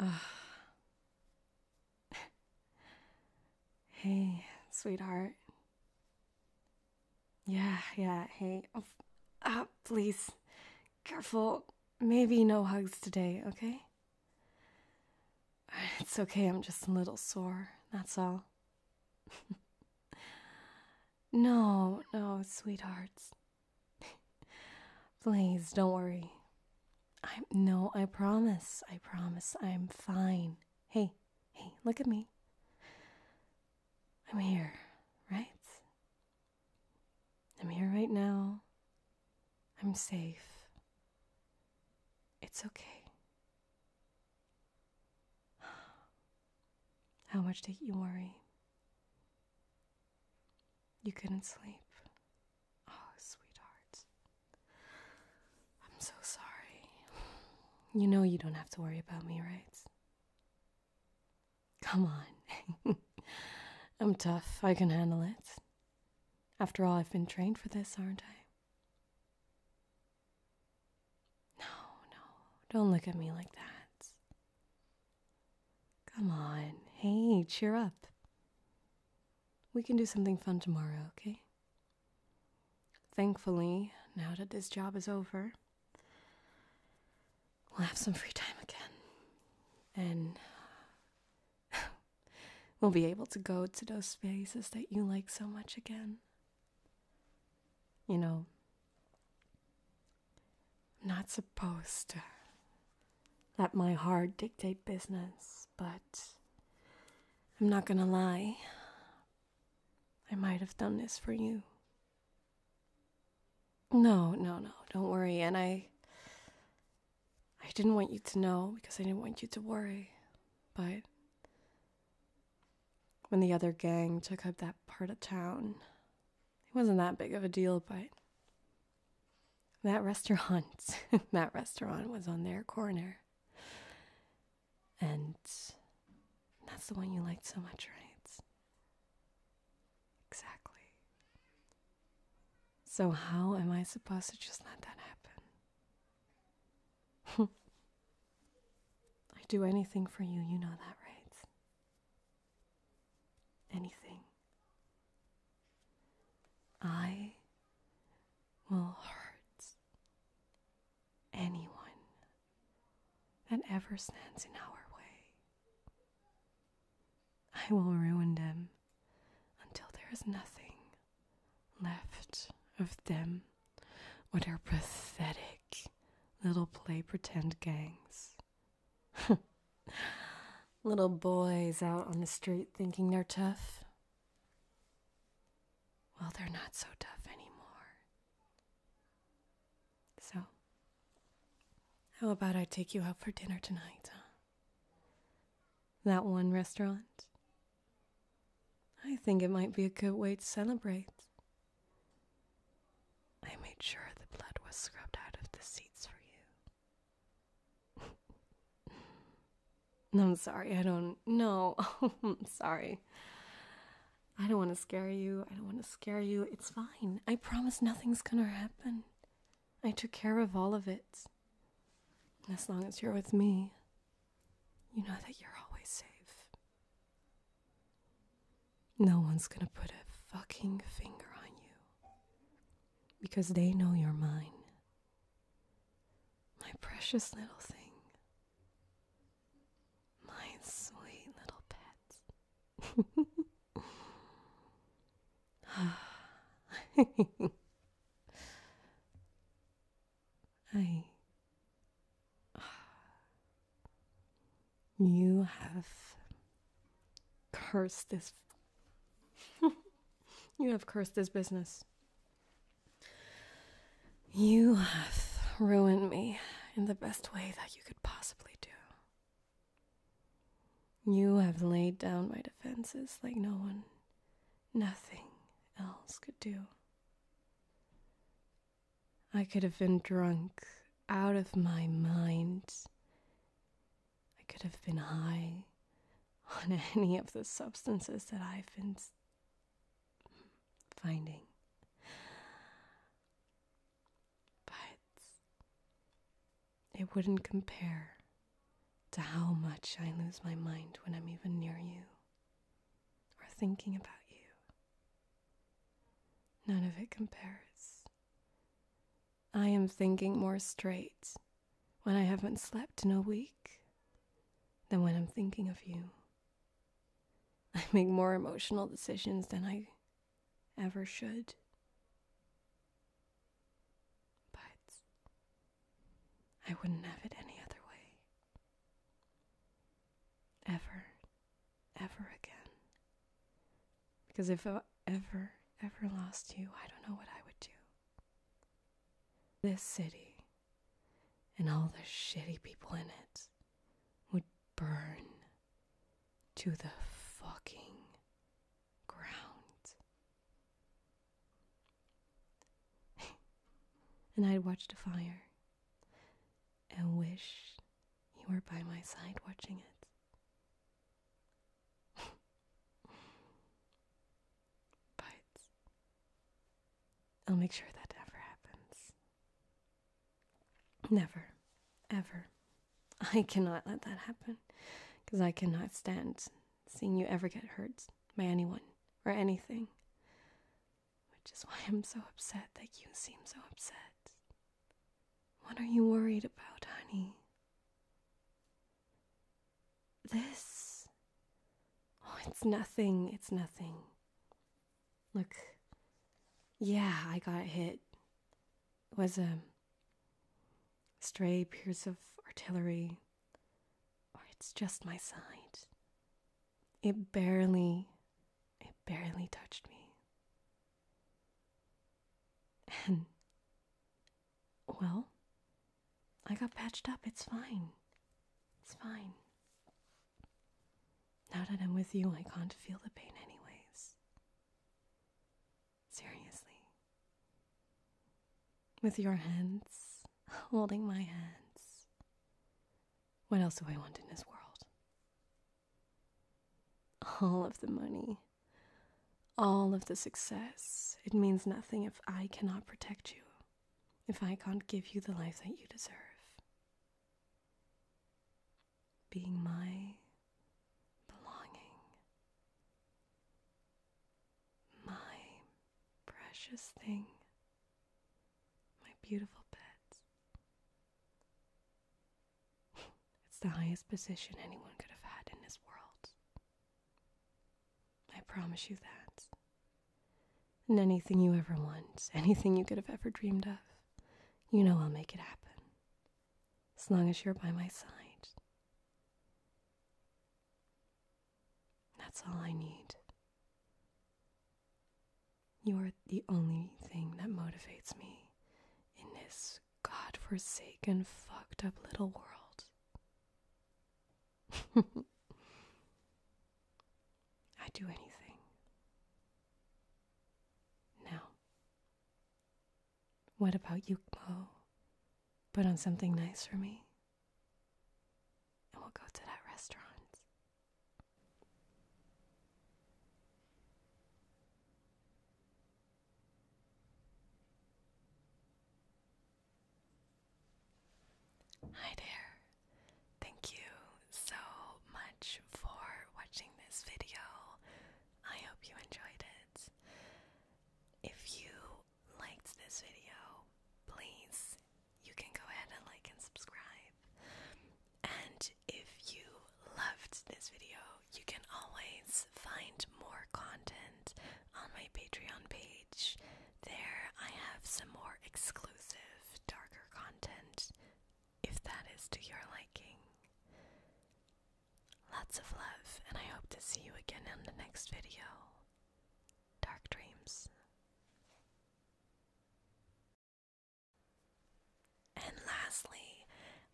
uh. hey, sweetheart. Yeah, yeah, hey. Oh, ah, please, careful. Maybe no hugs today, okay? It's okay, I'm just a little sore, that's all. No, no, sweethearts. Please don't worry. I no, I promise. I promise I'm fine. Hey, hey, look at me. I'm here, right? I'm here right now. I'm safe. It's okay. How much did you worry? You couldn't sleep. Oh, sweetheart. I'm so sorry. You know you don't have to worry about me, right? Come on. I'm tough. I can handle it. After all, I've been trained for this, aren't I? No, no, don't look at me like that. Come on, hey, cheer up. We can do something fun tomorrow, okay? Thankfully, now that this job is over, we'll have some free time again. And we'll be able to go to those places that you like so much again. You know, I'm not supposed to let my heart dictate business, but I'm not gonna lie. I might have done this for you. No, no, no, don't worry. And I. I didn't want you to know because I didn't want you to worry, but when the other gang took up that part of town. It wasn't that big of a deal, but that restaurant, that restaurant was on their corner. And that's the one you liked so much, right? Exactly. So, how am I supposed to just let that happen? i do anything for you, you know that, right? Anything. I will hurt anyone that ever stands in our way. I will ruin them until there is nothing left of them what are pathetic little play pretend gangs. little boys out on the street thinking they're tough. Well, they're not so tough anymore. So, how about I take you out for dinner tonight, huh? That one restaurant I think it might be a good way to celebrate. I made sure the blood was scrubbed out of the seats for you. I'm sorry, I don't know. I'm sorry. I don't want to scare you. I don't want to scare you. It's fine. I promise nothing's going to happen. I took care of all of it. As long as you're with me, you know that you're always safe. No one's gonna put a fucking finger on you because they know you're mine. My precious little thing. My sweet little pet. I. You have cursed this. you have cursed this business. You have ruined me in the best way that you could possibly do. You have laid down my defenses like no one nothing else could do. I could have been drunk out of my mind. I could have been high on any of the substances that I've been finding. But it wouldn't compare to how much I lose my mind when I'm even near you or thinking about you. None of it compares. I am thinking more straight when I haven't slept in a week than when I'm thinking of you. I make more emotional decisions than I ever should. But I wouldn't have it any other way. Ever, ever again. Because if I ever, ever lost you, I don't know what I would do. This city and all the shitty people in it would burn to the fucking ground. and I'd watch the fire and wish you were by my side watching it. but I'll make sure that never happens. Never, ever. I cannot let that happen because I cannot stand seeing you ever get hurt by anyone or anything. Which is why I'm so upset that you seem so upset. What are you worried about, honey? This? Oh, it's nothing. It's nothing. Look. Yeah, I got hit was a stray piece of artillery, or oh, it's just my sight. It barely, it barely touched me. And, well, I got patched up. It's fine. It's fine. Now that I'm with you, I can't feel the pain anyways. Seriously. With your hands holding my hands. What else do I want in this world? All of the money, all of the success. It means nothing if I cannot protect you, if I can't give you the life that you deserve. Being my belonging. My precious thing, my beautiful pets. it's the highest position anyone could have had in this world. I promise you that. And anything you ever want, anything you could have ever dreamed of, you know I'll make it happen as long as you're by my side. That's all I need. You are the only thing that motivates me in this god-forsaken, fucked up little world. I'd do anything. Now, what about you, Mo? Put on something nice for me, and we'll go to that restaurant. Hi there. Thank you so much for watching this video. I hope you enjoyed it. If you liked this video, please you can go ahead and like and subscribe. And if you loved this video, you can always find more content on my Patreon page. There I have some more exclusive, darker content if that is to your liking. Lots of love, and I hope to see you again in the next video. Dark dreams. And lastly,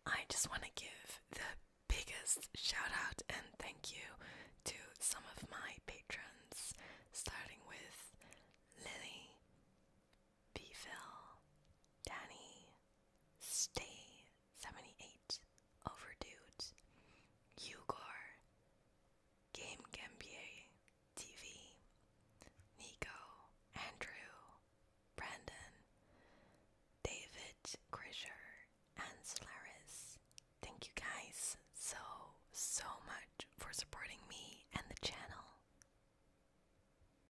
I just want to give the biggest shout out and thank you to some of my patrons, starting with Lily, Bville, Danny, Stay 78, Overdude, Ugor, Game Gambier TV, Nico, Andrew, Brandon, David Grisher, and Solaris. Thank you guys so, so much for supporting me and the channel.